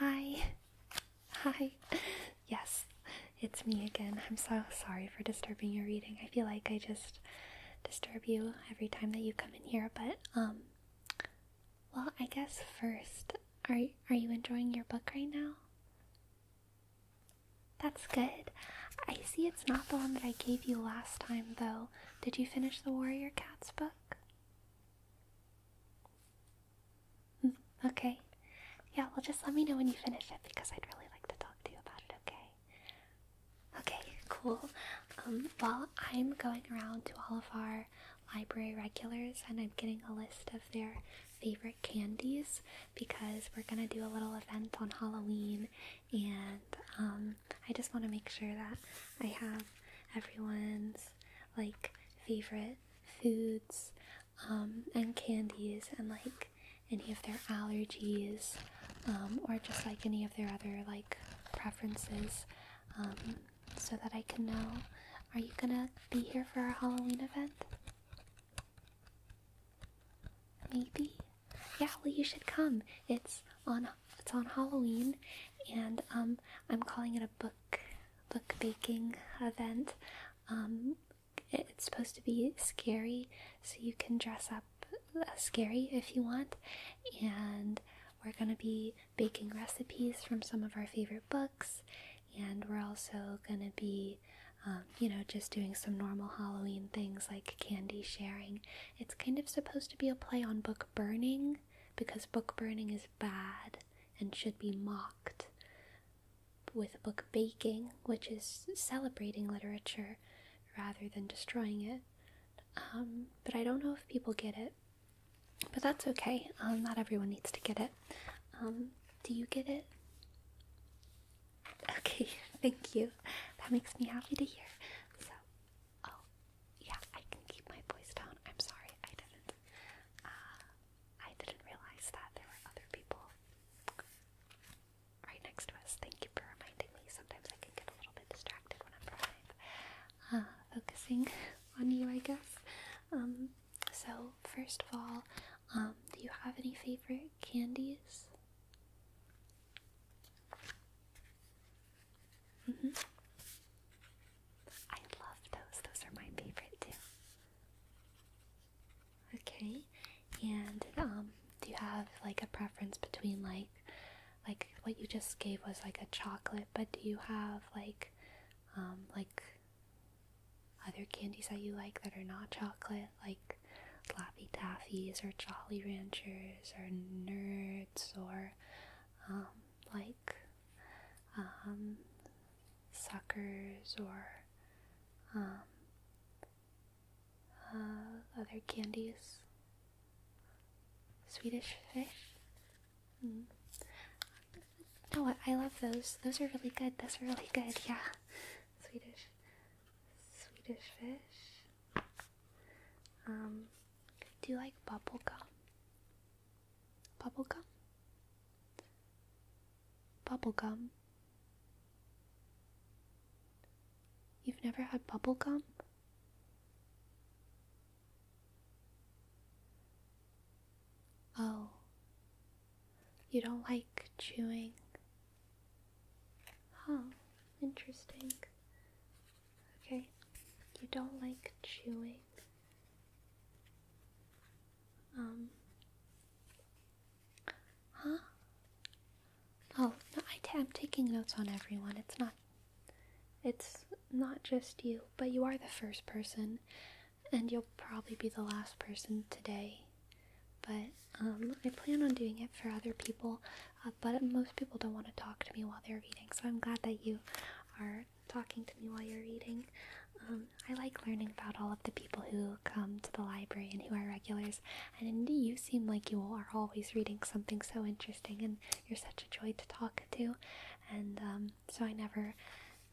Hi. Hi. Yes, it's me again. I'm so sorry for disturbing your reading. I feel like I just disturb you every time that you come in here, but um well, I guess first, are are you enjoying your book right now? That's good. I see it's not the one that I gave you last time though. Did you finish the Warrior Cats book? Mm, okay. Yeah, well, just let me know when you finish it because I'd really like to talk to you about it, okay? Okay, cool. Um, well, I'm going around to all of our library regulars and I'm getting a list of their favorite candies because we're going to do a little event on Halloween and um, I just want to make sure that I have everyone's like favorite foods um, and candies and like any of their allergies um, or just like any of their other like preferences um, so that I can know. Are you gonna be here for our Halloween event? Maybe? Yeah, well you should come. It's on it's on Halloween and I'm calling it a book book baking event. Um, it's supposed to be scary, so you can dress up scary if you want. And we're going to be baking recipes from some of our favorite books. And we're also going to be, um, you know, just doing some normal Halloween things like candy sharing. It's kind of supposed to be a play on book burning because book burning is bad and should be mocked. With book Baking, which is celebrating literature rather than destroying it. Um, but I don't know if people get it. But that's okay. Um, not everyone needs to get it. Um, do you get it? Okay, thank you. That makes me happy to hear. So, oh, yeah, I can keep my voice down. I'm sorry, I didn't. Uh, I didn't realize that there were other people right next to us. Thank you for reminding me. Sometimes I can get a little bit distracted when I'm live. Uh, focusing on you, I guess. Um, so, first of all, um, do you have any favorite candies? Mm-hmm. I love those. Those are my favorite too. Okay, and um, do you have like a preference between like, like what you just gave was like a chocolate, but do you have like, um, like other candies that you like that are not chocolate, like Laffy Taffies or Jolly Ranchers or Nerds or, um, like um, suckers or um, uh, other candies. Swedish fish. Mm-hmm. No, I, love those. Those are really good. Those are really good. Yeah, Swedish, Swedish fish. Um, do you like bubble gum? Bubblegum? Bubblegum? You've never had bubblegum? Oh, you don't like chewing? Huh, interesting. Okay, you don't like chewing. Um, huh? Oh, no, I t- I'm taking notes on everyone. It's not. It's not just you, but you are the first person, and you'll probably be the last person today. But um, I plan on doing it for other people, uh, but most people don't want to talk to me while they're reading, so I'm glad that you are talking to me while you're reading. Um, I like learning about all of the people who come to the library and who are regulars. And you seem like you are always reading something so interesting, and you're such a joy to talk to. And um, so I never,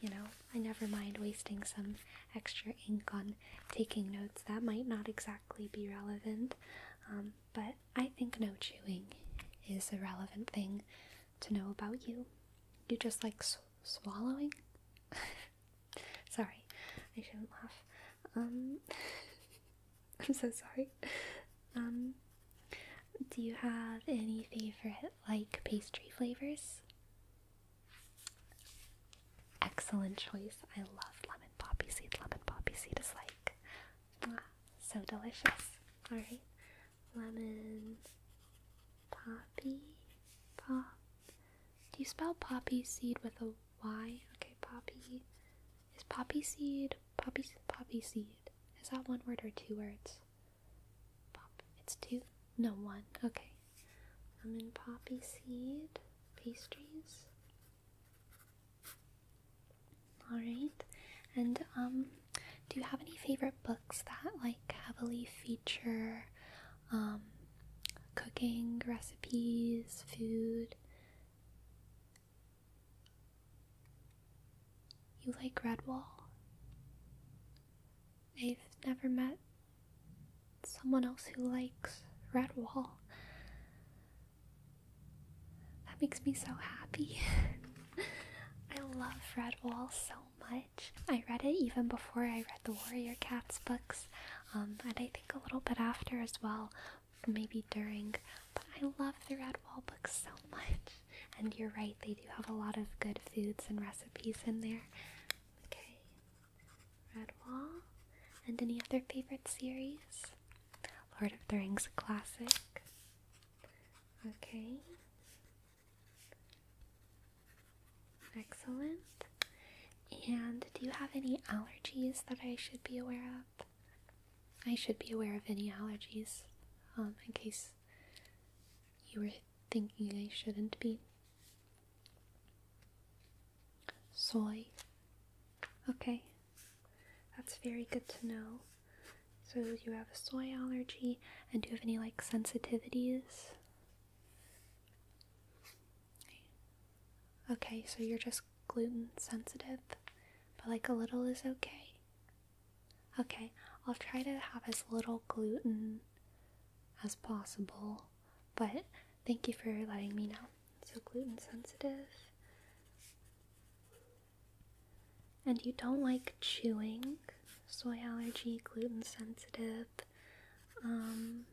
you know, I never mind wasting some extra ink on taking notes that might not exactly be relevant. Um, but I think no chewing is a relevant thing to know about you. You just like swallowing. sorry, I shouldn't laugh. Um, I'm so sorry. Um, do you have any favorite like pastry flavors? Excellent choice. I love lemon poppy seed. Lemon poppy seed is like so delicious. All right lemon, poppy, pop. Do you spell poppy seed with a Y? Okay, poppy. Is poppy seed poppy poppy seed? Is that one word or two words? Pop. It's two. No, one. Okay. Lemon poppy seed pastries. All right, and um, do you have any favorite books that like heavily feature um, cooking recipes, food? You like Redwall? I've never met someone else who likes Redwall. That makes me so happy. I love Redwall so much. I read it even before I read the Warrior Cats books, um, and I think a little bit after as well, maybe during. But I love the Redwall books so much. And you're right, they do have a lot of good foods and recipes in there. Okay, Redwall. And any other favorite series? Lord of the Rings classic. Okay. Excellent. And do you have any allergies that I should be aware of? I should be aware of any allergies um, in case you were thinking I shouldn't be. Soy. Okay, that's very good to know. So do you have a soy allergy? And do you have any like sensitivities? Okay, so you're just gluten sensitive, but like a little is okay. Okay, I'll try to have as little gluten as possible, but thank you for letting me know. So, gluten sensitive. And you don't like chewing soy allergy, gluten sensitive. Um,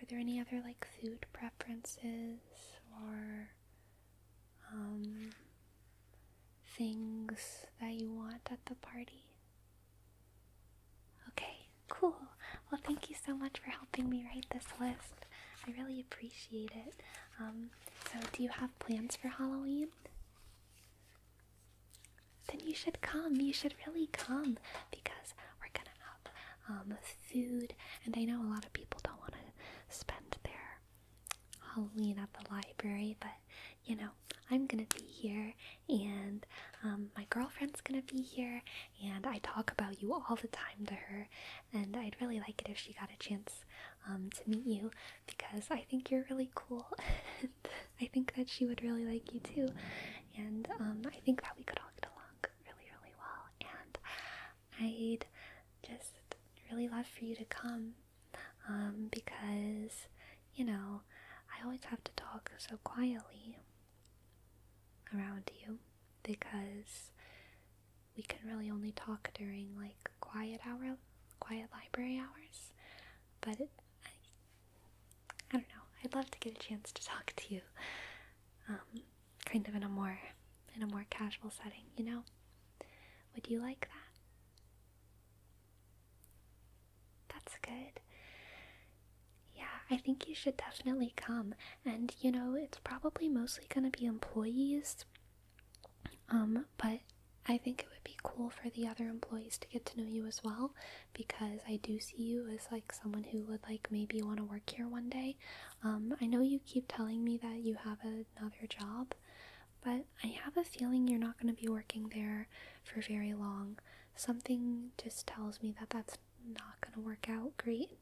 are there any other like food preferences or um, things that you want at the party? Okay, cool. Well, thank you so much for helping me write this list. I really appreciate it. Um, so, do you have plans for Halloween? then you should come. You should really come because we're gonna have um, food. And I know a lot of people don't want to spend their Halloween at the library, but you know, I'm gonna be here, and um, my girlfriend's gonna be here, and I talk about you all the time to her. And I'd really like it if she got a chance um, to meet you because I think you're really cool. I think that she would really like you too. And um, I think that we could all get along really, really well. And I'd just really love for you to come um, because, you know, I always have to talk so quietly around you because we can really only talk during like quiet hour quiet library hours but I, I don't know. I'd love to get a chance to talk to you, um, kind of in a more in a more casual setting. You know, would you like that? That's good. Yeah, I think you should definitely come. And you know, it's probably mostly gonna be employees um, but I think it would be cool for the other employees to get to know you as well because I do see you as like someone who would like maybe want to work here one day. Um, I know you keep telling me that you have another job, but I have a feeling you're not going to be working there for very long. Something just tells me that that's not going to work out great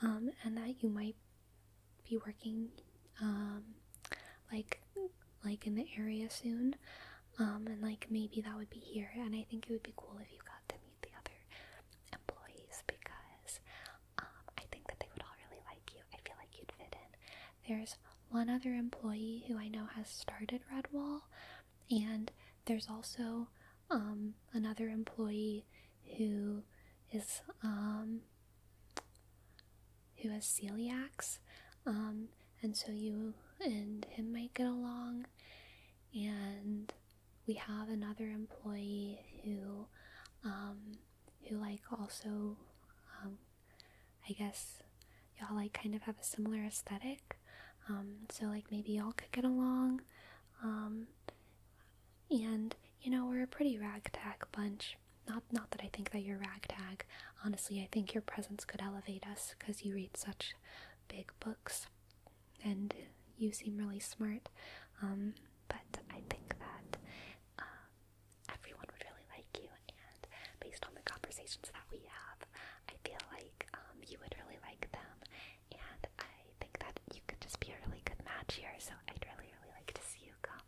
um, and that you might be working um, like like in the area soon um, and like maybe that would be here and i think it would be cool if you got to meet the other employees because um, i think that they would all really like you i feel like you'd fit in there's one other employee who i know has started redwall and there's also um, another employee who is who has celiacs, um, and so you and him might get along. And we have another employee who, um, who like also, um, I guess y'all like kind of have a similar aesthetic. Um, so like maybe y'all could get along. Um, and you know we're a pretty ragtag bunch, not, not that I think that you're ragtag. Honestly, I think your presence could elevate us because you read such big books, and you seem really smart. Um, but I think that uh, everyone would really like you, and based on the conversations that we have, I feel like um, you would really like them, and I think that you could just be a really good match here. So I'd really, really like to see you come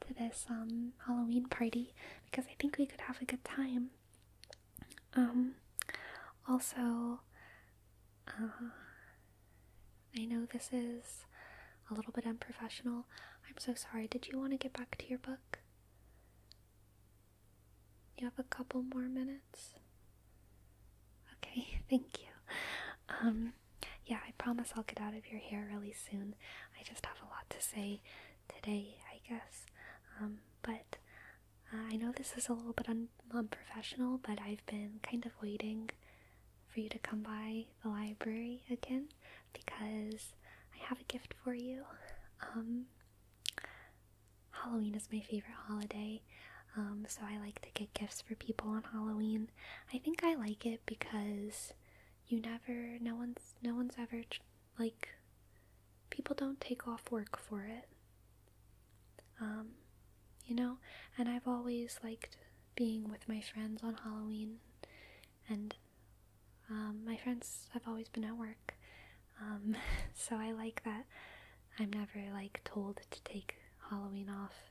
to this um, Halloween party because I think we could have a good time. Um, also, uh, I know this is a little bit unprofessional. I'm so sorry. Did you want to get back to your book? You have a couple more minutes. Okay, thank you. Um, yeah, I promise I'll get out of your hair really soon. I just have a lot to say today, I guess. Um, but uh, I know this is a little bit unprofessional, but I've been kind of waiting for you to come by the library again because I have a gift for you. Um, Halloween is my favorite holiday, um, so I like to get gifts for people on Halloween. I think I like it because you never, no one's, no one's ever like, people don't take off work for it. Um, you know, and I've always liked being with my friends on Halloween, and um, my friends have always been at work, um, so I like that I'm never like told to take Halloween off.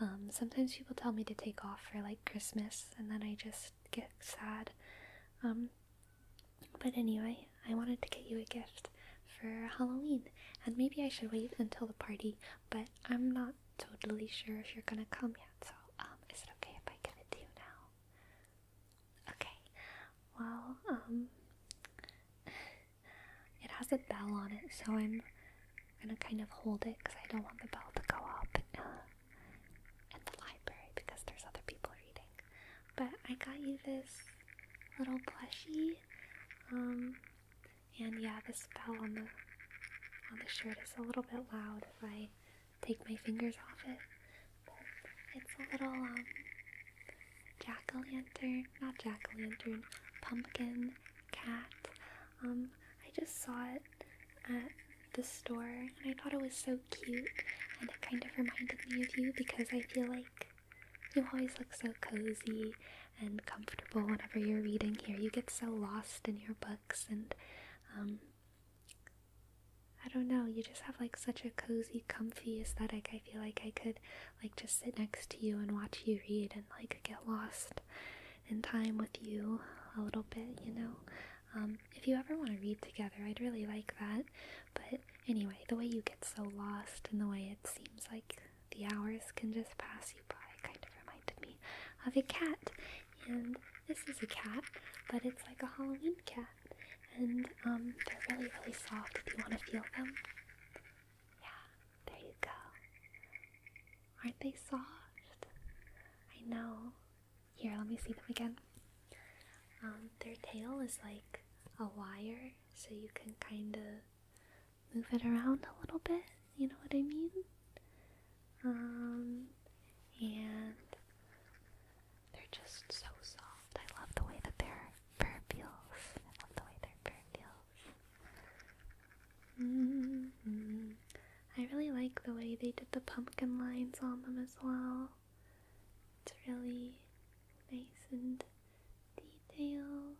Um, sometimes people tell me to take off for like Christmas, and then I just get sad. Um, but anyway, I wanted to get you a gift for Halloween, and maybe I should wait until the party, but I'm not totally sure if you're gonna come yet, so um, is it okay if I give it to you now? Okay, well, um, it has a bell on it, so I'm gonna kind of hold it because I don't want the bell to go off at the library because there's other people reading. But I got you this little plushie. Um, and yeah, the spell on the on the shirt is a little bit loud if I take my fingers off it. it's a little um jack-o'-lantern, not jack-o'-lantern, pumpkin cat. Um, I just saw it at the store, and I thought it was so cute, and it kind of reminded me of you because I feel like you always look so cozy and comfortable whenever you're reading here. You get so lost in your books, and um, I don't know, you just have like such a cozy, comfy aesthetic. I feel like I could like just sit next to you and watch you read and like get lost in time with you a little bit, you know? Um, if you ever want to read together, I'd really like that. But anyway, the way you get so lost and the way it seems like the hours can just pass you by kind of reminded me of a cat. And this is a cat, but it's like a Halloween cat. And um, they're really, really soft if you want to feel them. Yeah, there you go. Aren't they soft? I know. Here, let me see them again. Um, their tail is like a wire, so you can kind of move it around a little bit. You know what I mean? Um, and they're just so soft. I love the way that their fur feels. I love the way their fur feels. Mm-hmm. I really like the way they did the pumpkin lines on them as well. It's really nice and detailed.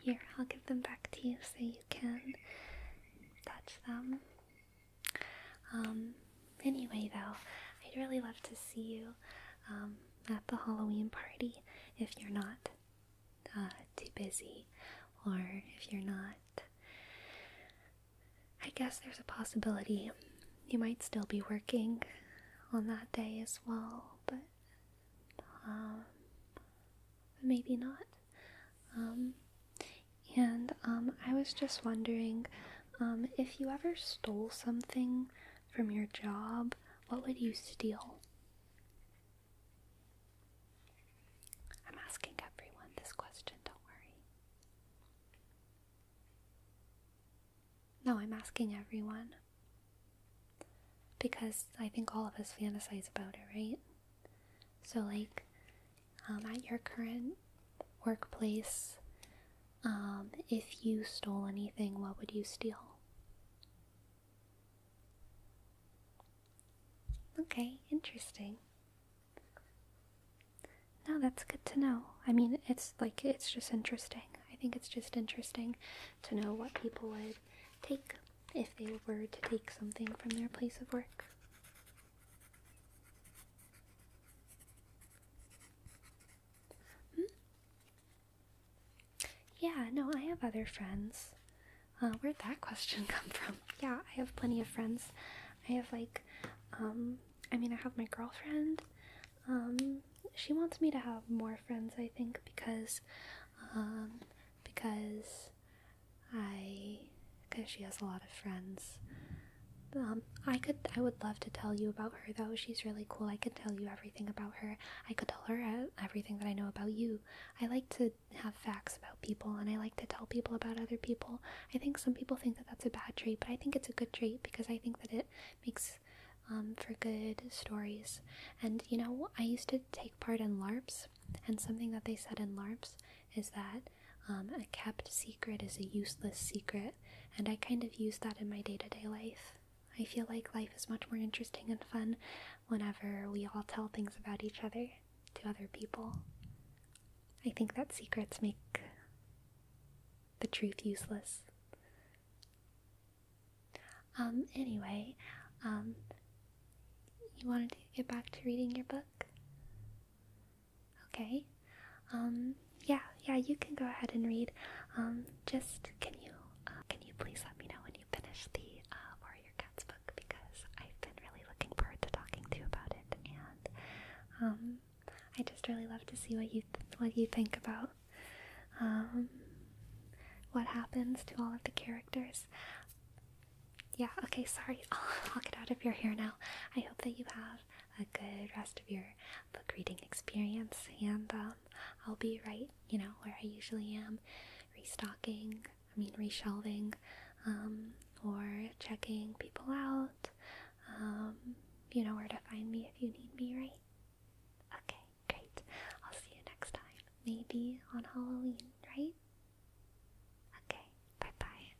Here, I'll give them back to you so you can touch them. Um, anyway, though, I'd really love to see you um, at the Halloween party if you're not too busy, or if you're not, I guess there's a possibility you might still be working on that day as well, but um, maybe not. Um, and um, I was just wondering if you ever stole something from your job, what would you steal? I'm asking everyone this question, don't worry. No, I'm asking everyone. Because I think all of us fantasize about it, right? So, like, um, at your current workplace, um, if you stole anything, what would you steal? Okay, interesting. No, that's good to know. I mean, it's like it's just interesting. I think it's just interesting to know what people would take if they were to take something from their place of work. Hmm? Yeah, no, I have other friends uh, where'd that question come from? Yeah, I have plenty of friends. I have like, um, I mean, I have my girlfriend. Um, she wants me to have more friends, I think, because, um, because I, because she has a lot of friends. Um, I could, I would love to tell you about her though. She's really cool. I could tell you everything about her. I could tell her uh, everything that I know about you. I like to have facts about people and I like to tell people about other people. I think some people think that that's a bad trait, but I think it's a good trait because I think that it makes um, for good stories. And you know, I used to take part in LARPs, and something that they said in LARPs is that um, a kept secret is a useless secret, and I kind of use that in my day to day life. I feel like life is much more interesting and fun whenever we all tell things about each other to other people. I think that secrets make the truth useless. Um, anyway, um, you wanted to get back to reading your book? Okay. Um, yeah, yeah, you can go ahead and read. Um, just, can you, uh, can you please let me know when you finish the, uh, Warrior cat's book because I've been really looking forward to talking to you about it, and um, I just really love to see what you what you think about um, what happens to all of the characters. Yeah. Okay. Sorry. I'll, get out of your hair now. I hope that you have a good rest of your book reading experience, and um, I'll be right, you know, where I usually am, restocking I mean, reshelving um, or checking people out. Um, you know where to find me if you need me, right? Okay, great. I'll see you next time. Maybe on Halloween, right? Okay, bye bye.